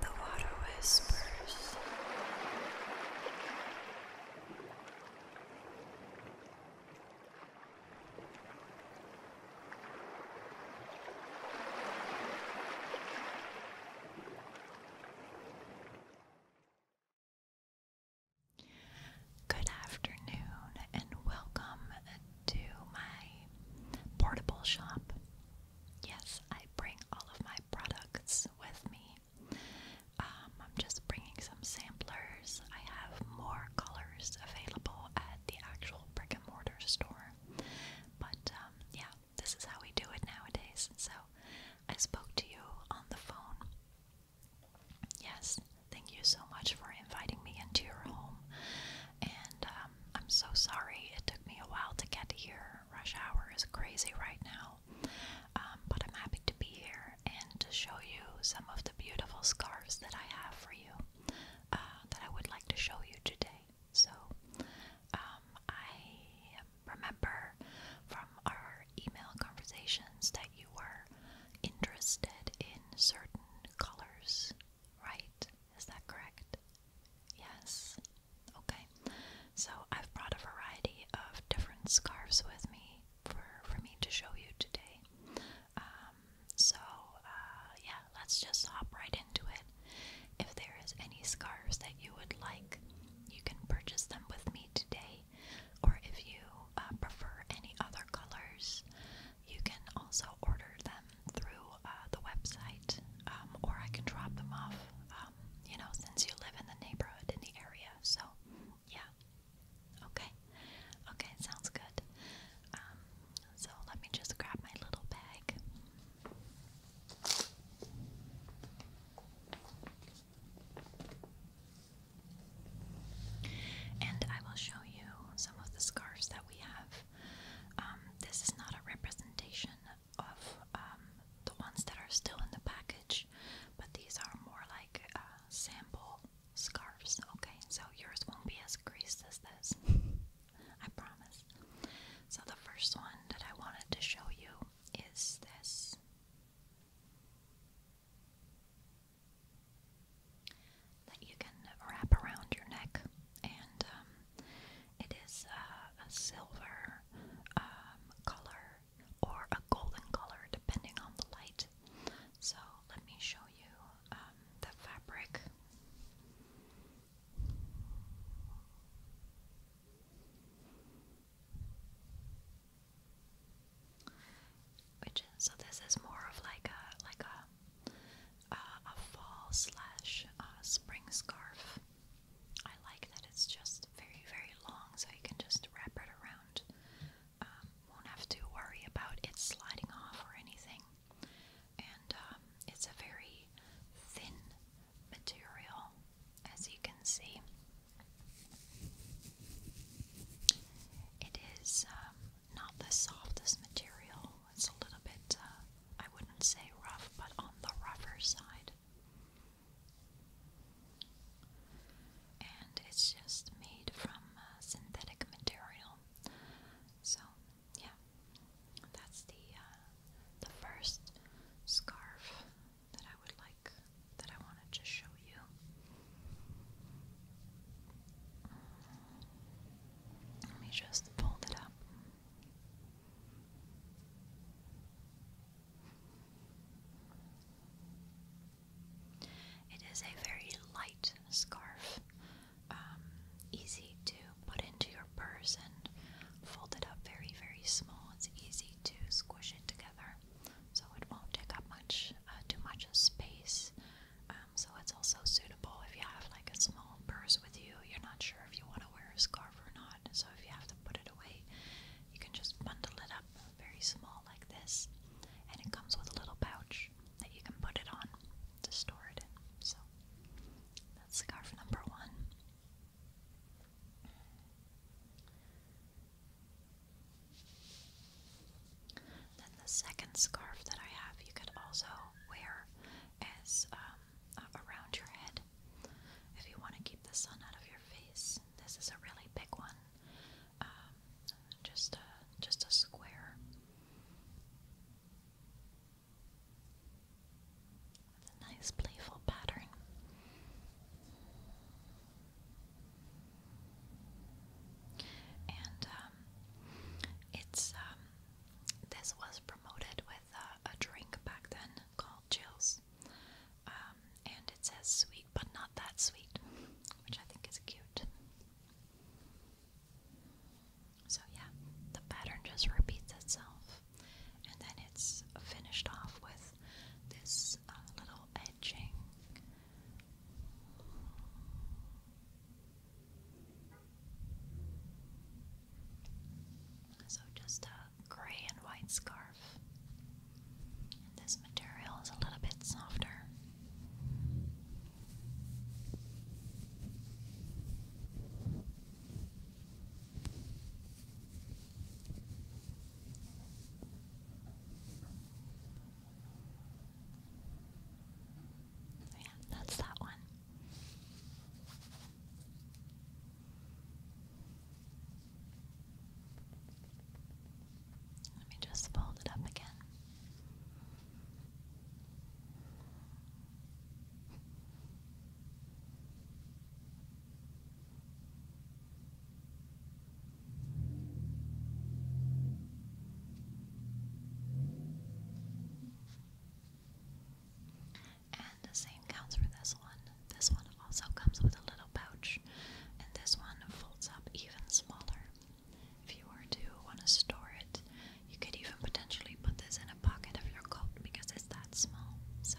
The water whispers. Good afternoon, and welcome to my portable shop. Yes, I bring all of my products with me. Um, I'm just bringing some samplers. I have more colors available at the actual brick and mortar store. But um, yeah, this is how we do it nowadays. So I spoke to you on the phone. Yes, thank you so much for inviting me into your home. And um, I'm so sorry it took me a while to get here. Rush hour is crazy right now. Um, but I'm happy to be here and to show you some of the beautiful scarves that I have for you uh, that I would like to show you today. So um, I remember from our email conversations that you were interested in certain colors, right? Is that correct? Yes. Okay. So I've brought a variety of different scarves with me for for me to show you today. Um, so uh, yeah, let's just hop right into it. If there is any scarves that you would like, you can purchase them with me today, or if you uh, prefer any other colors, you can also order them through uh, the website, um, or I can drop them off, um, you know, since you live in the neighborhood, in the area. So, yeah. Okay. Okay, sounds good. Um, so, let me just grab my little bag. And I will show you some of the scarves that we have um, this is not a representation of um, the ones that are still in the package, but these are more like uh, sample scarves. Okay, so yours won't be as greasy as this. I promise. So, the first one that I wanted to show you is this that you can wrap around your neck, and um, it is uh, a silver um, color or a golden color depending on the light. So let me show you um, the fabric. so this is more of like a like a uh, a fall slash uh, spring scarf. I like that it's just very, very long, so you can just wrap it around. Um, won't have to worry about it sliding off or anything. And um, it's a very thin material, as you can see. It is um, not the softest material, it's a little bit, uh, I wouldn't say rough, but on the rougher side. And it's just made from uh, synthetic material. So, yeah, that's the uh, the first scarf that I would like that I wanted to show you. Let me just fold it up. It is a very light scarf, um, easy to put into your purse and fold it up very, very small. It's easy to squish it together, so it won't take up much, uh, too much space. Uh, so it's also suitable if you have like a small purse with you. You're not sure if you want to wear a scarf or not, so if you have to put it away, you can just bundle it up very small like this, and it comes with a little pouch that you can put it on to store it in. So that's scarf number one. Then the second scarf that I have, you could also wear as um, uh, around your head. If you want to keep the sun out of your face, this is a really big one. Um, just a just a square. With a nice playful pattern. And um, it's this was promoted with uh, a drink back then called Chills. Um, and it says sweet, but not that sweet, which I think is cute. So, yeah, the pattern just repeats itself. And then it's finished off with this uh, little edging. So just a gray and white scarf. This material is a little bit softer. Yeah, that's that one. Let me just fold it up again. And the same counts for this one. This one also comes with a little pouch, and this one folds up even smaller. If you were to want to store it, you could even potentially put this in a pocket of your coat because it's that small. So.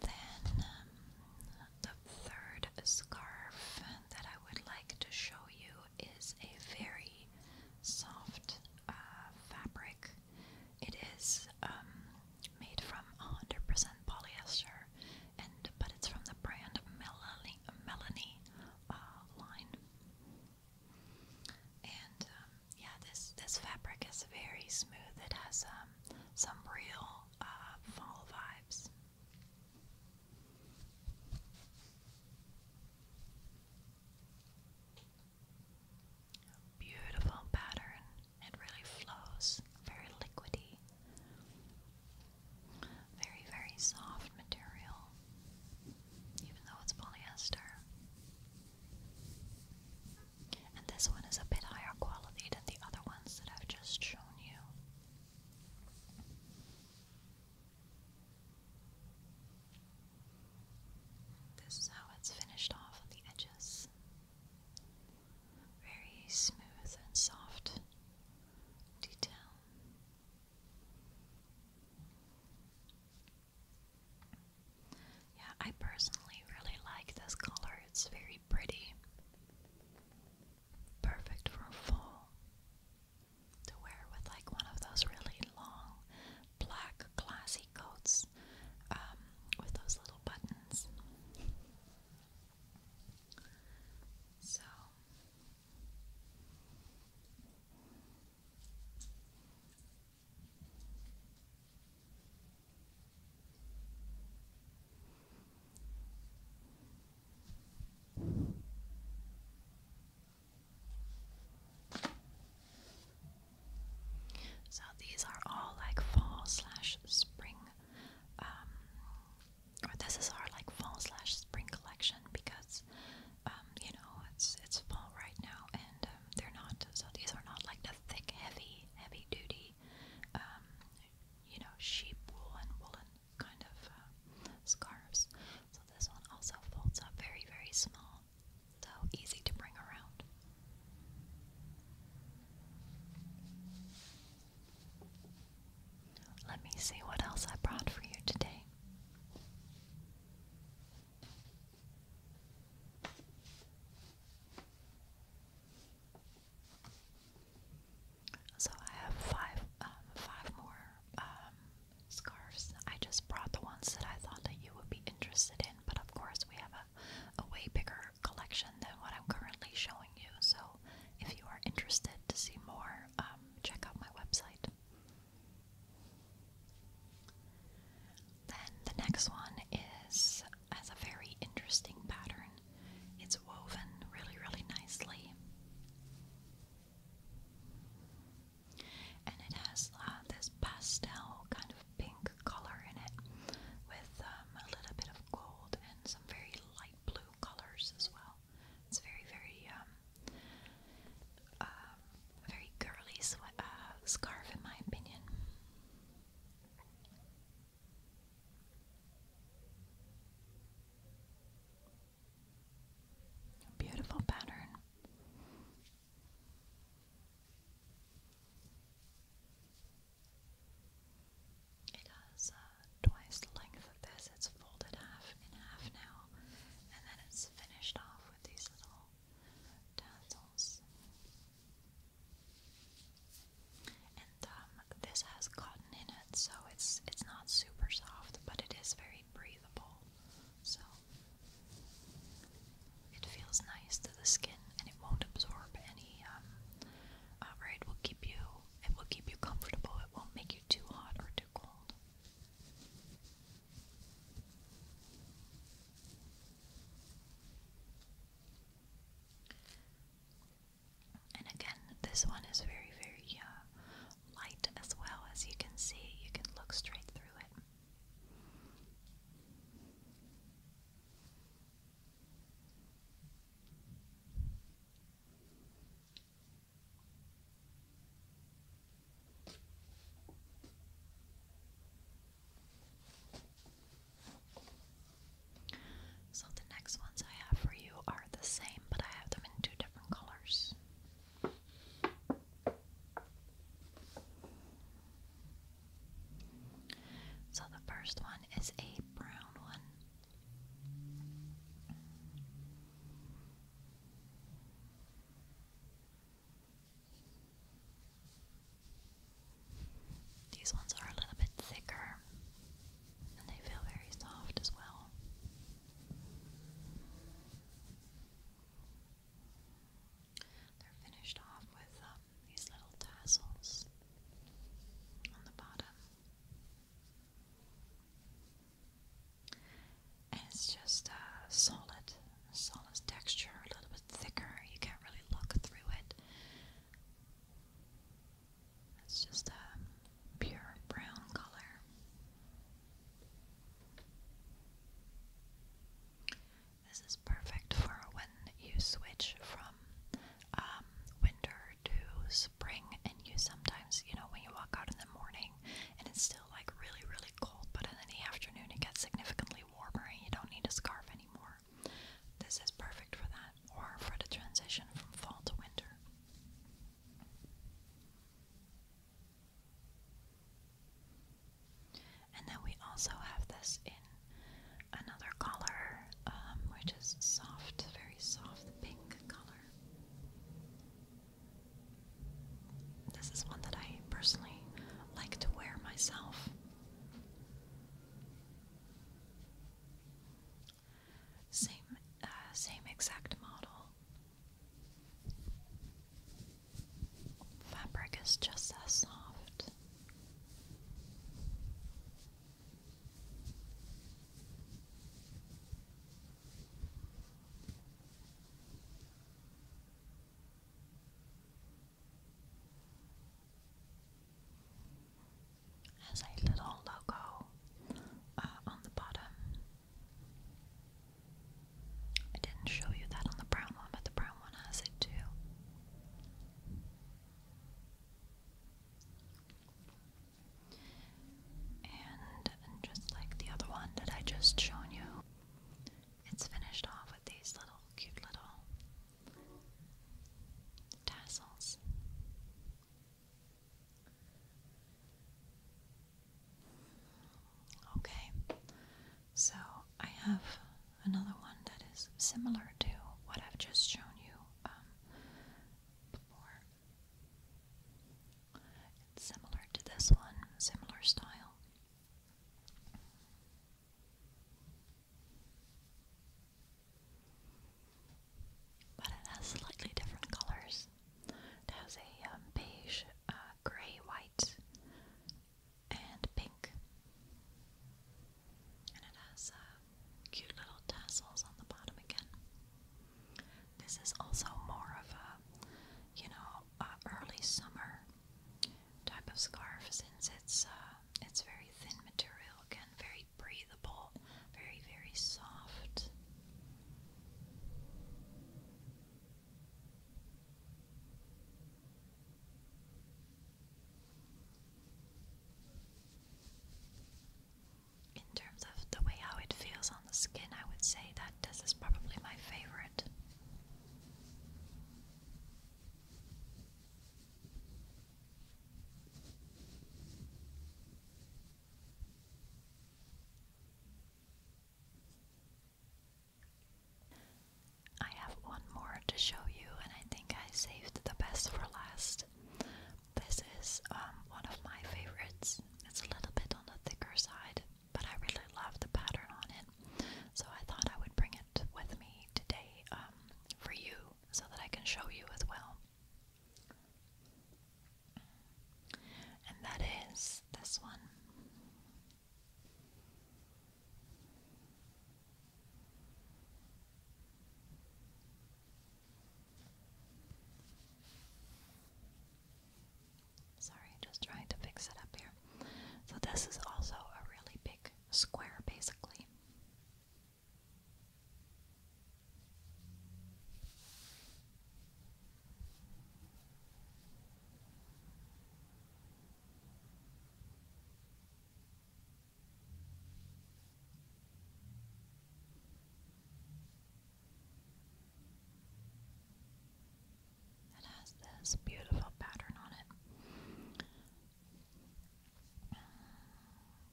Then um, the third scarf that I would like to show you is a very soft uh, fabric. It is um, made from 100% polyester, and but it's from the brand Melanie, Melanie uh, line. And um, yeah, this this fabric is very smooth. It has um, some real fall vibes. Beautiful pattern. It really flows, very liquidy, very, very soft material, even though it's polyester and this one is a bit higher quality than the other ones that I've just shown you. This is how it's finished off on the edges. Very smooth and soft detail. Yeah, I personally really like this color. It's very pretty. Perfect for fall. To wear with like one of those really long black classy coats um, with those little buttons. So so these are all like fall slash spring, um, or this is our like fall slash spring collection because, um, you know, it's it's fall right now and um, they're not. So these are not like the thick, heavy, heavy duty um, you know, sheep wool and woolen kind of uh, scarves. So this one also folds up very, very small, so easy to bring around. Let me see what else I brought for you today. So I have five, um, five more um, scarves. I just brought the ones that I thought that you would be interested in, but of course we have a, a way bigger collection than what I'm currently showing you. So if you are interested to see more, um, check out my website. Then the next one is has a very interesting pattern. It's woven really, really nicely. And it has uh, this pastel kind of pink color in it with um, a little bit of gold and some very light blue colors as well. It's very, very, um, um very girly swe uh, scarf in my opinion. Beautiful pattern. It has uh, twice the length of this. It's folded half in half now, and then it's finished off with these little tassels. And um, this has cotton in it, so it's it's not super soft, but it is very breathable. So it feels nice to the skin, and it won't absorb any. Um, uh, it will keep you it will keep you comfortable. It won't make you too hot or too cold. And again, this one is very, very uh, light as well. As you can see, you can look straight through it. So the next ones I have for you are the same, but I have them in two different colors. So the first one is a brown one. These ones are a little bit thicker and they feel very soft as well. They're finished off with um, these little tassels on the bottom. And it's just a uh, solid, solid texture, a little bit thicker. You can't really look through it. It's just a pure brown color. This is perfect for when you switch from um, winter to spring, and you sometimes, you know, when you walk out in the morning and it's still like really, really cold, but in the afternoon it gets significantly warmer and you don't need a scarf anymore. This is perfect for that, or for the transition from fall to winter. And then we also have this in another color, um, which is soft, very soft pink color. This is one that I personally like to wear myself. Same, uh, same exact model. Fabric is just as soft. Has a little logo uh, on the bottom. I didn't show you that on the brown one, but the brown one has it too. and just like the other one that I just shown you, it's finished off with these little cute little tassels. Okay, so I have another one that is similar to what I've just shown you um, before. similar to this one, similar style. But it has slightly different colors. It has a um, beige, uh, gray, white, and pink. And it has uh, cute little tassels on the bottom again. This is also more of a, you know, uh, early summer type of scarf since it's uh, it's very thin material again, very breathable, very very soft. In terms of the way how it feels on the skin, I would say that this is probably my favorite. I have one more to show you, and I think I saved the best for last. This is um, one of my favorites. It's a little bit on the thicker side, but I really love the pattern on so I thought I would bring it with me today um, for you so that I can show you as well. And that is this one. Sorry, just trying to fix it up here. So, this is also a really big square basically. It has this beautiful pattern on it.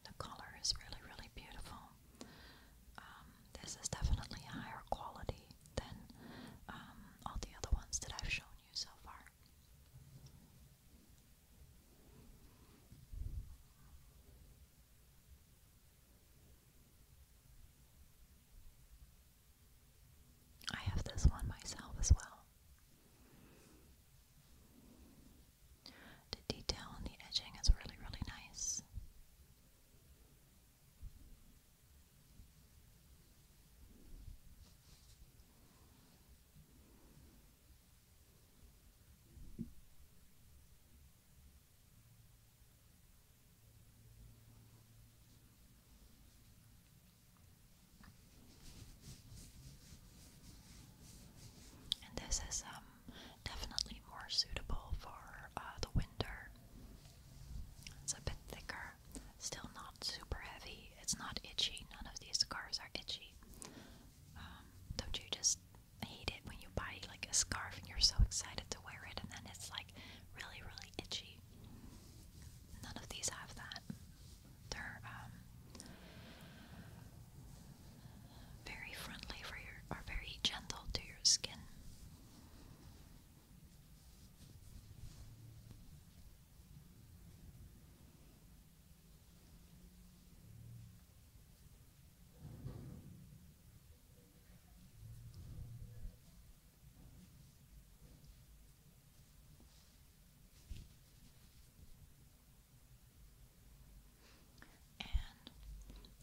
The color is really, really beautiful. Um, this is definitely higher quality than um, all the other ones that I've shown you so far. I have this one myself as well. The detail on the edging is really, really nice. And this is um, definitely more suitable for uh, the winter. It's a bit thicker, still not super heavy. It's not itchy. None of these scarves are itchy. Um, don't you just hate it when you buy like a scarf and you're so excited to wear it, and then it's like really, really itchy? None of these have that. They're um, very friendly for your, or very gentle to your skin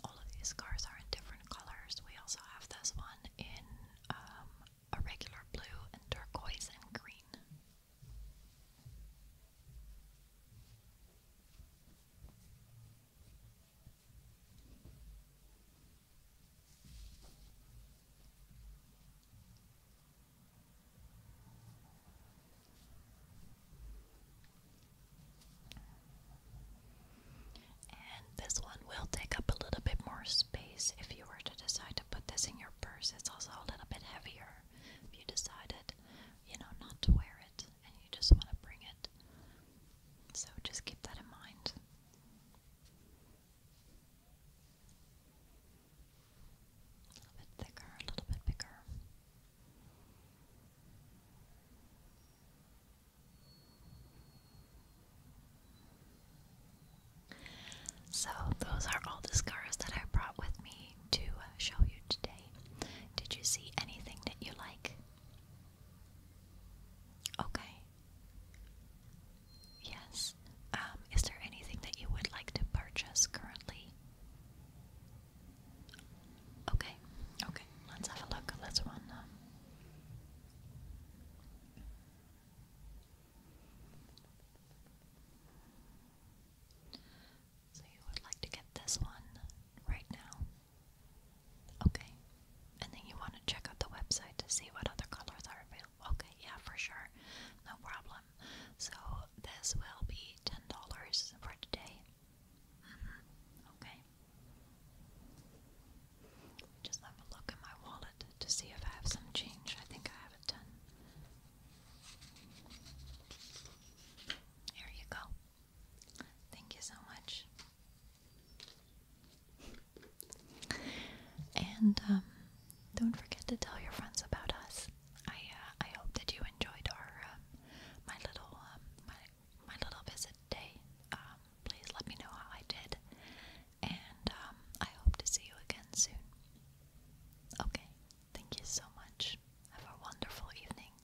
all of these cars are in different colors. We also have this one in um, a regular blue and turquoise and green this one will take up a little bit more space if you were to decide to put this in your purse. It's also a little bit heavier if you decided, you know, not to wear it and you just want to bring it. So just keep that in mind. A little bit thicker, a little bit bigger. So, those are all the scars that I brought with me to uh, show you today. Did you see anything that you like? Okay. Yes. Um, is there anything that you would like to purchase currently? Okay. Okay. Let's have a look. Let's run. Um, so you would like to get this one right now? Okay. And then you want to check out the website to see what other colors are available. Okay, yeah, for sure. No problem. So this will be ten dollars for today. Mm-hmm. Okay. Just have a look in my wallet to see if I have some change. I think I have a ton. Here you go. Thank you so much. And um, don't forget to tell your friends about us. I uh, I hope that you enjoyed our um, my little um, my my little visit day. please let me know how I did, and I hope to see you again soon. Okay, thank you so much. Have a wonderful evening.